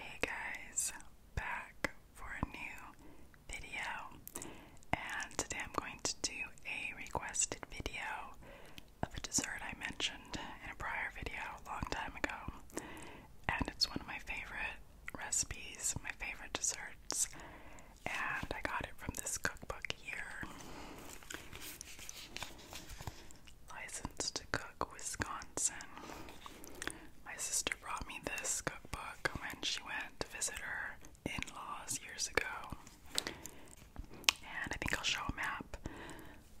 Hey guys, back for a new video, and today I'm going to do a requested video of a dessert I mentioned in a prior video a long time ago, and it's one of my favorite recipes, my favorite desserts, and I got it from this cookbook here. Licensed to Cook, Wisconsin. My sister brought me this cookbook when she went to visit her in laws years ago. And I think I'll show a map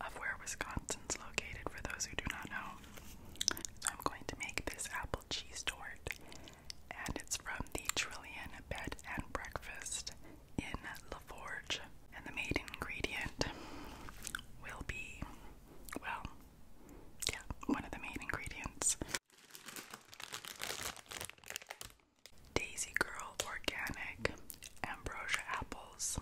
of where Wisconsin's located for those who do not know. I'm going to make this apple cheese tort, and it's from the Trillion Bed and Breakfast in LaForge. And the main ingredient will be, well, yeah, one of the main ingredients. Daisy Girl Organic Ambrosia Apples.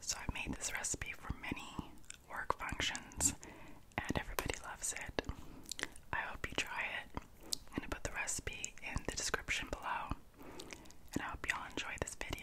So I've made this recipe for many work functions and everybody loves it. I hope you try it. i going to put the recipe in the description below and I hope y'all enjoy this video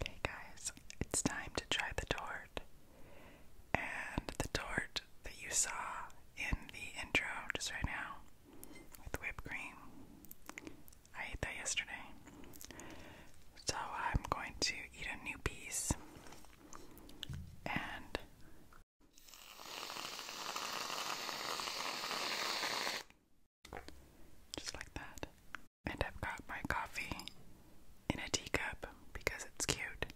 Okay, guys, it's time to try the tort. And the tort that you saw in the intro just right now with whipped cream, I ate that yesterday. So I'm going to eat a new piece and. Just like that. And I've got my coffee in a teacup because it's cute.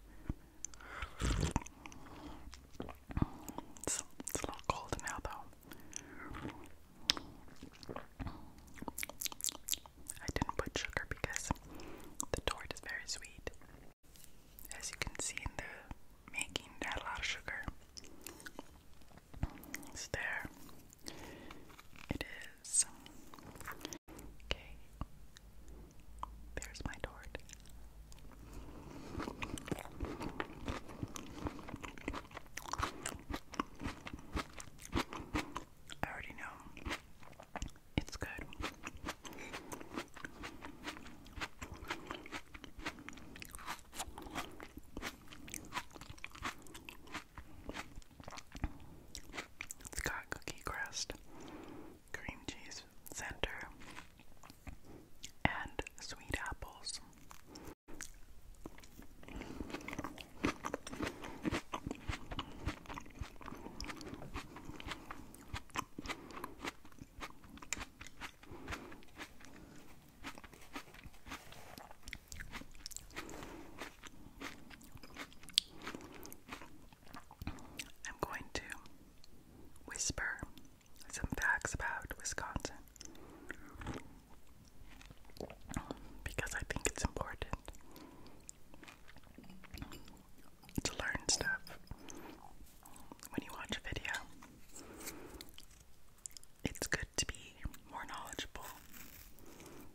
It's, a little cold now, though. I didn't put sugar because the tort is very sweet. As you can see in the making, not a lot of sugar. It's there. It is. Okay. There's my tort. I already know it's good. It's got cookie crust, cream cheese center, and sweet apples. I'm going to whisper some facts about Wisconsin because I think it's important to learn stuff when you watch a video. It's good to be more knowledgeable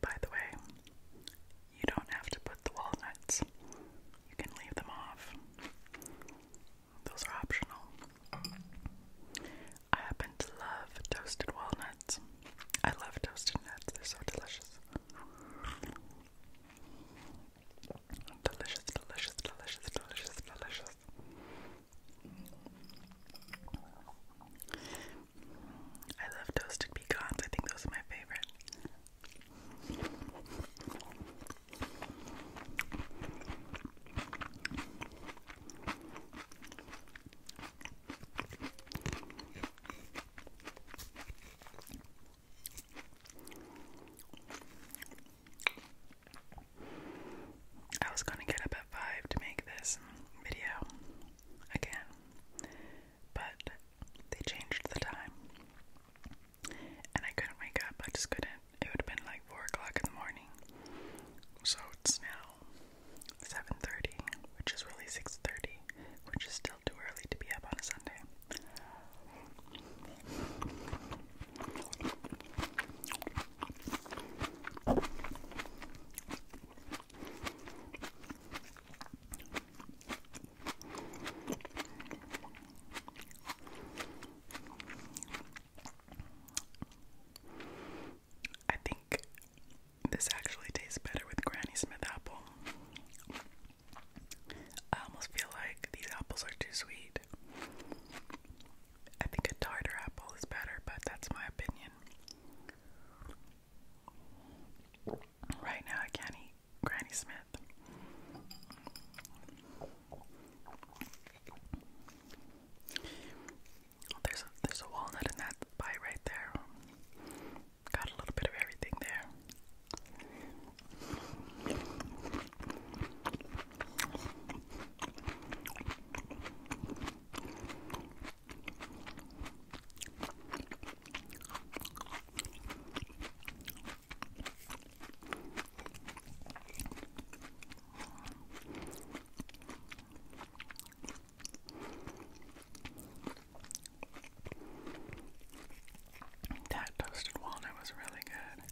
By the way, you don't have to put the walnuts, you can leave them off. Those are optional. I happen to love toasted walnuts. I love toasted nuts, they're so delicious. Delicious, delicious, delicious, delicious, delicious. I love toasted pecans. I think those are my favorite. I was gonna get up at 5 to make this video again, but they changed the time. And I couldn't wake up, I just couldn't. It would have been like 4 o'clock in the morning. So it's now 7.30, which is really 6.30, which is still too early to be up on a Sunday. I think this actually tastes better with Granny Smith apple. I almost feel like these apples are too sweet. I think a tartar apple is better, but that's my opinion. Right now, I can't eat Granny Smith. Oh, there's there's a walnut in that pie right there. Got a little bit of everything there. That toasted walnut was really good.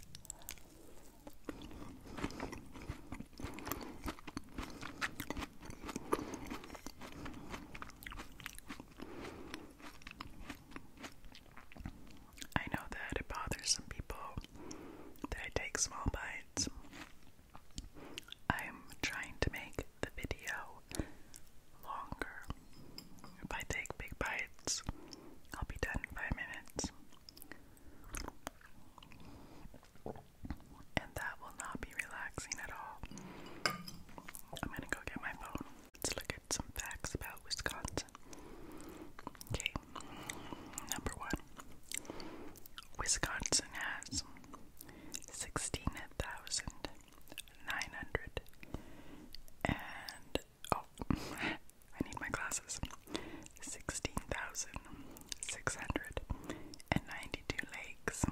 I know that it bothers some people that I take small bites. I'm trying to make the video longer. If I take big bites, I'll be done in five minutes. And that will not be relaxing at all. I'm gonna go get my phone. Let's look at some facts about Wisconsin. Okay, number one Wisconsin has 16,900 and oh, I need my glasses. Sixteen thousand six hundred and ninety-two lakes.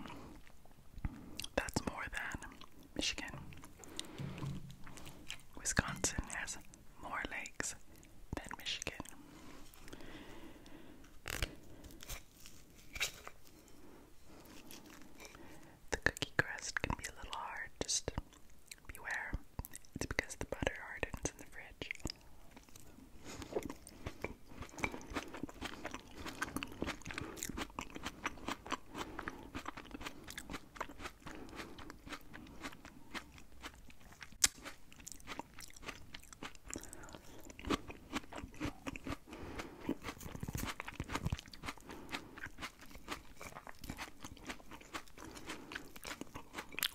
That's more than Michigan. Wisconsin has more lakes than Michigan. The cookie crust can be a little hard, just Beware, it's because the butter hardens in the fridge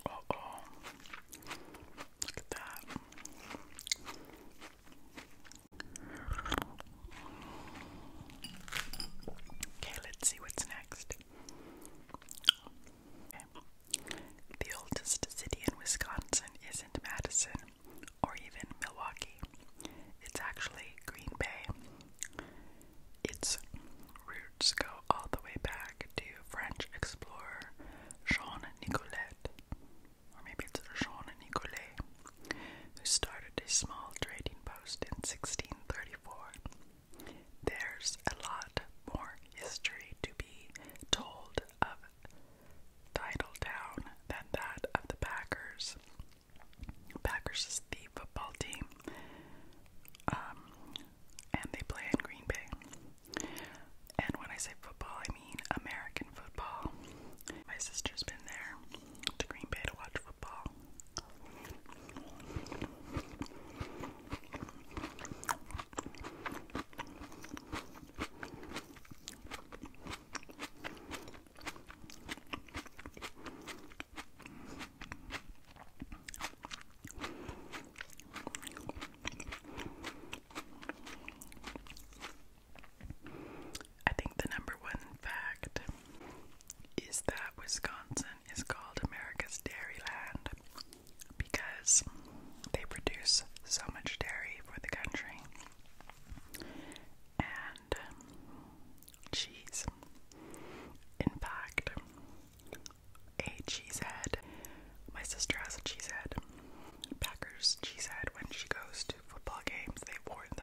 oh. Look at that. Okay, let's see what's next. The oldest city in Wisconsin isn't Madison or even Milwaukee. It's actually Green Bay. It's just go all the way back to French explorer Jean Nicolet, or maybe it's Jean Nicolet, who started a small trading post in 1634. There's a lot more history to be told of Titletown than that of the Packers. Packers is the football team. Um, and they play in Green Bay. And when I say football, I mean American football. My sister's been there to Green Bay to watch football. I think the number one fact is that Wisconsin is called America's Dairyland because they produce so much dairy for the country and cheese. In fact, a cheesehead. My sister has a cheesehead. Packers cheese When she goes to football games, they warn them.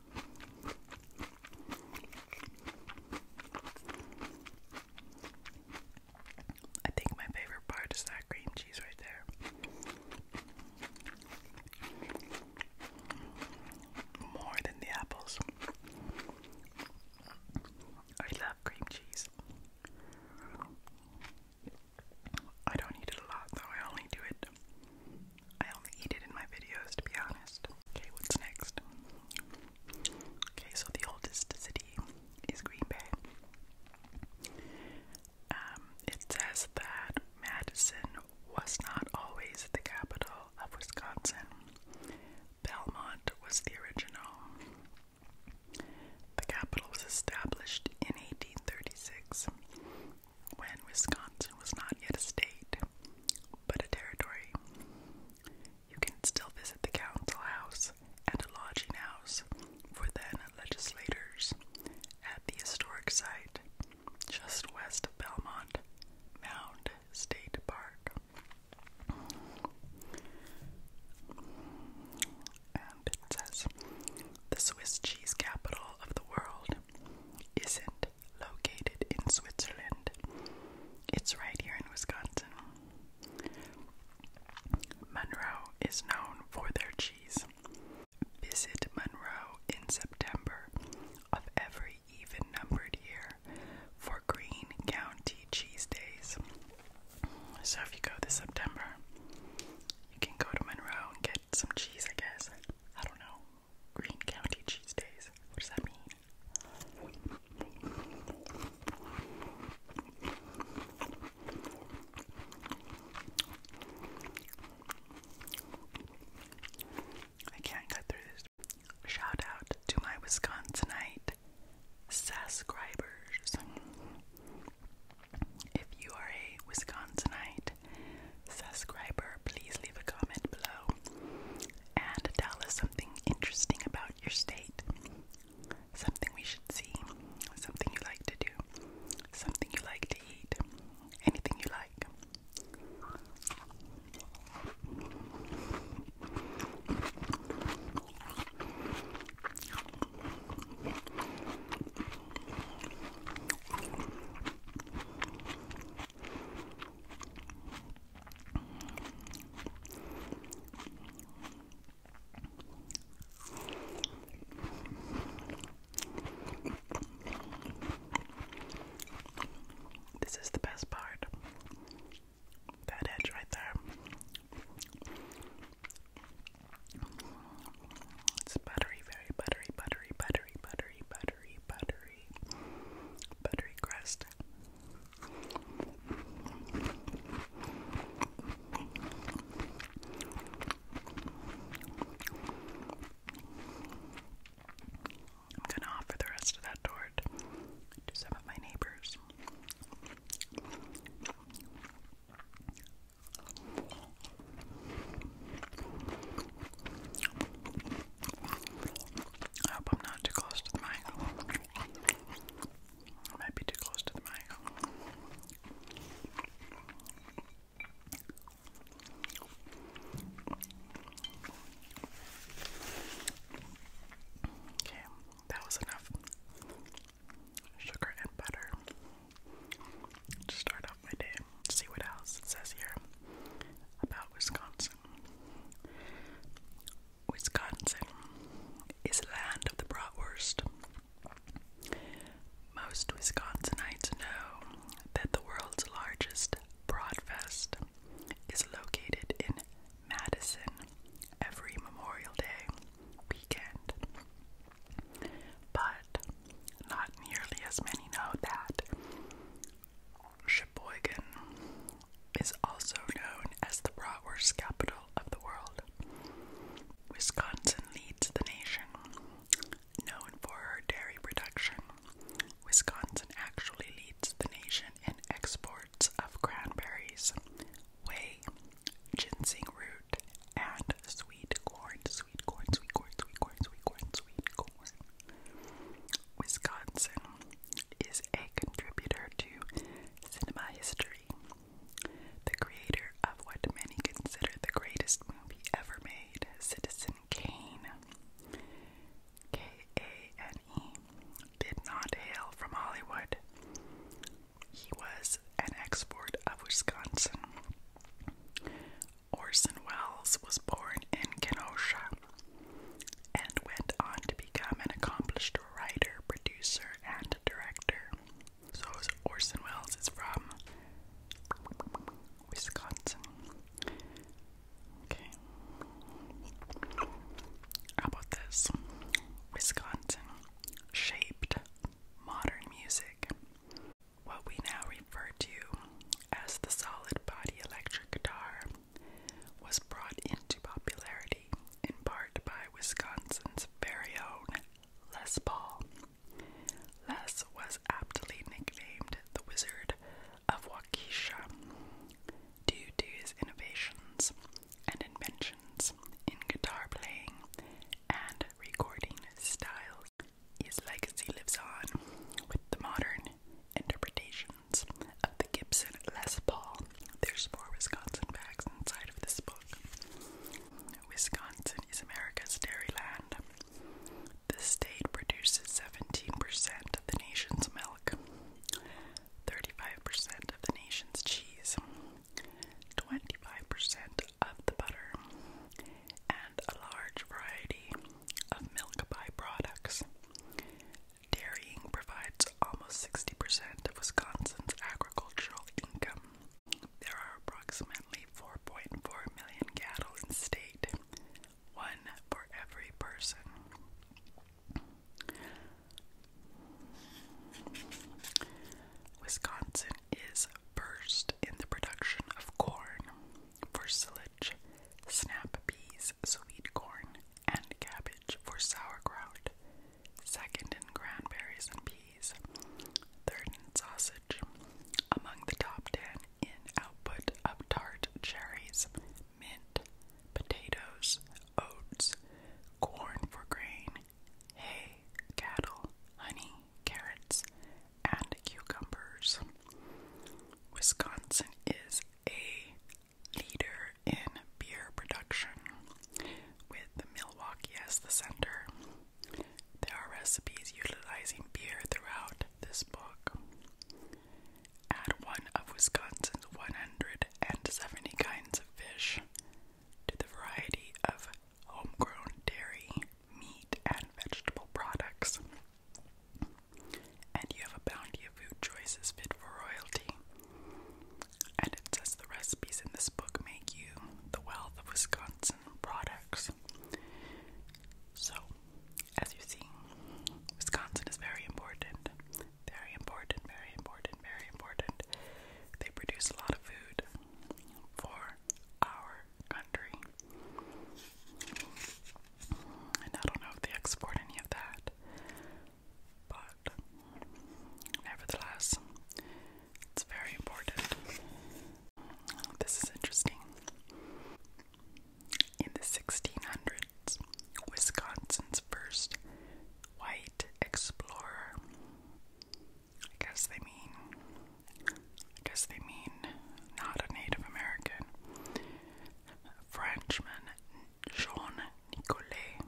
I think my favorite part is that cream cheese right there. More than the apples. I love cream cheese. I don't eat it a lot though, I only do it I only eat it in my videos, to be honest. Okay, what's next? Okay, so the oldest city is Green Bay. Um, it says that Madison was not always the capital of Wisconsin. Belmont was the original. The capital was established in 1836 when Wisconsin was not yet a state, but a territory. You can still visit the council house and a lodging house for then legislators at the historic site just west of Belmont Mound State Park. And it says the Swiss cheese capital of the world isn't located in Switzerland. It's right here in Wisconsin. Monroe is known for their cheese. Visit Monroe in September of every even numbered year for Green County Cheese Days. So if you go this September, you can go to Monroe and get some cheese, I guess. I don't know. Green County cheese What does that mean? I can't cut through this. Shout out to my Wisconsinite subscribers. If you are a Wisconsinite subscriber, please leave a comment below and tell us something interesting about your state, something we should see, something you like to do, something you like to eat, anything you like. This is the best part. That edge right there. It's buttery, very buttery, buttery, buttery, buttery, buttery buttery, buttery, buttery crust. I'm gonna offer the rest of that tort to some of my neighbors. I hope I'm not too close to the mic. might be too close to the mic. Okay, that was enough sugar and butter to start off my day. See what else it says here about Wisconsin. Wisconsin is land of the bratwurst. Most Wisconsinites know that the world's largest broadfest is located in Madison every Memorial Day weekend. But not nearly as many know that Sheboygan is also known as the bratwurst capital of the world. Wisconsin leads the nation, known for her dairy production. Wisconsin actually leads the nation in exports of cranberries, whey, ginseng root, and sweet corn sweet corn, sweet corn, sweet corn, sweet corn, sweet corn. Wisconsin is a contributor to cinema history. The creator of what many consider the greatest movie ever made, Citizen Kane, K A N E, did not hail from Hollywood. He was an export of Wisconsin. Orson Welles was born in Kenosha and went on to become an accomplished writer, producer, and director. So Orson Welles is from Wisconsin. How about this? Wisconsin shaped modern music what we now refer to as the solid body electric guitar was brought into popularity in part by Wisconsin's very own Les Paul. Les was aptly nicknamed the Wizard of Waukesha due to his innovations and inventions in guitar playing and recording styles. His legacy lives on with the modern interpretations of the Gibson Les Paul. There's more Wisconsin facts inside of this book. Wisconsin is America's dairy land. The state produces 17% of the nation's milk, 35% of the nation's cheese, 25% of the butter and a large variety of milk byproducts. Dairying provides almost 60% of Wisconsin's agricultural income. There are approximately 4.4 million cattle in state, one for every person. Wisconsin is first in the production of corn, for snap peas, sweet corn, and cabbage for sauerkraut. Second in cranberries and peas. Third in sausage. Among the top ten in output of tart cherries, mint, potatoes, oats, corn for grain, hay, cattle, honey, carrots, and cucumbers. Wisconsin is a leader in beer production, with Milwaukee as the center. There are recipes utilizing beer throughout this book. Add one of Wisconsin's 170 kinds of fish to the variety of homegrown dairy, meat, and vegetable products. And you have a bounty of food choices fit for royalty. And it says the recipes in this book make you the wealth of Wisconsin products. So, as you see, Wisconsin is very important. Very important, very important, very important. They produce a lot of food for our country. And I don't know if they export any of that, but nevertheless, it's very important. This is interesting. In the 1600s, Wisconsin's first white explorer, I guess they mean I guess they mean not a Native American. Frenchman Jean Nicolet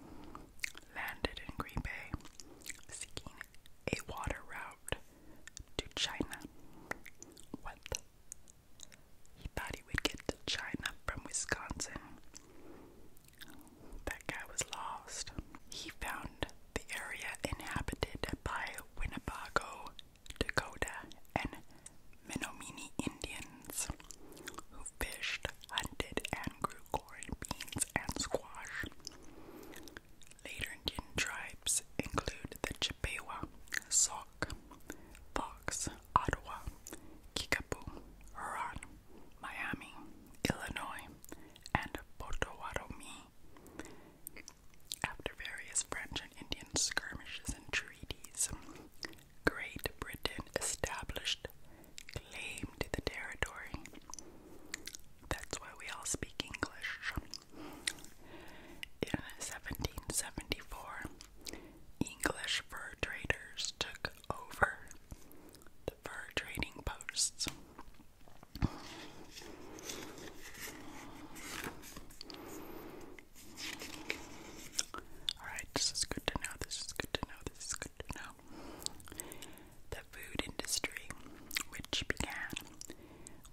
landed in Green Bay seeking a water route to China. What? He thought he would get to China from Wisconsin. That guy was lost. He found the area inhabited by Winnebago Dakota, and Menominee Indians who fished, hunted, and grew corn, beans, and squash. Later Indian tribes include the Chippewa, Sauk, Fox, Ottawa, Kickapoo, Huron, Miami, Illinois, and Potawatomi. After various French and Indian skirmishes and treaties, Great Britain established claim to the territory. That's why we all speak English. In 1774, English fur traders took over the fur trading posts. Alright, this is good to know, this is good to know, this is good to know. The food industry, which began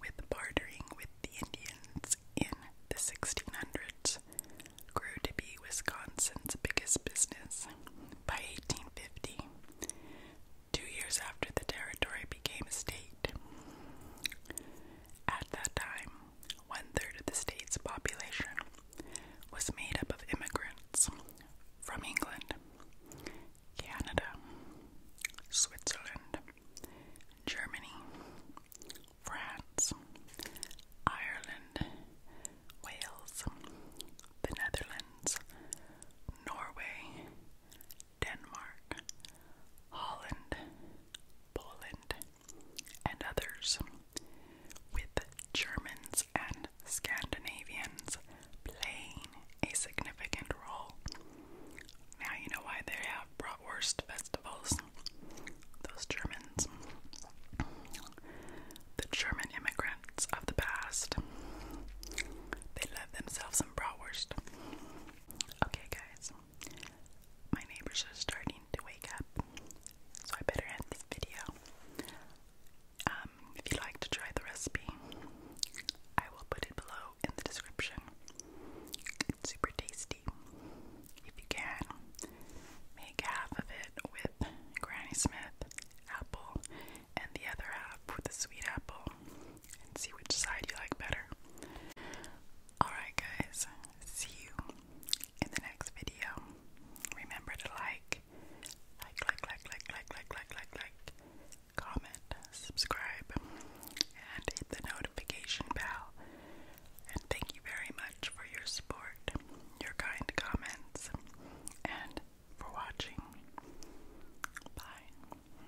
with bartering with the Indians in the 1600s, grew to be Wisconsin's biggest business. By 1850, two years after the territory became a state. At that time, one third of the state's population was made up of immigrants from England, Canada, Switzerland, Germany, France, Ireland, Wales, the Netherlands, Norway, Denmark, Holland, Poland, and others, with Germans and Scandinavians playing a significant role. Now you know why they have bratwurst festivals. Those Germans. The German immigrants of the past. They love themselves some bratwurst. Okay, guys, my neighbors are starting to wake up, so I better end this video. Um, if you like to try the recipe, I will put it below in the description. It's super tasty. If you can, make half of it with Granny Smith apple and the other half with a sweet apple and see which side you like better. Alright, guys, see you in the next video. Remember to like, like, like, like, like, like, like, like, like, comment, subscribe, and hit the notification bell. And thank you very much for your support, your kind comments, and for watching. Bye.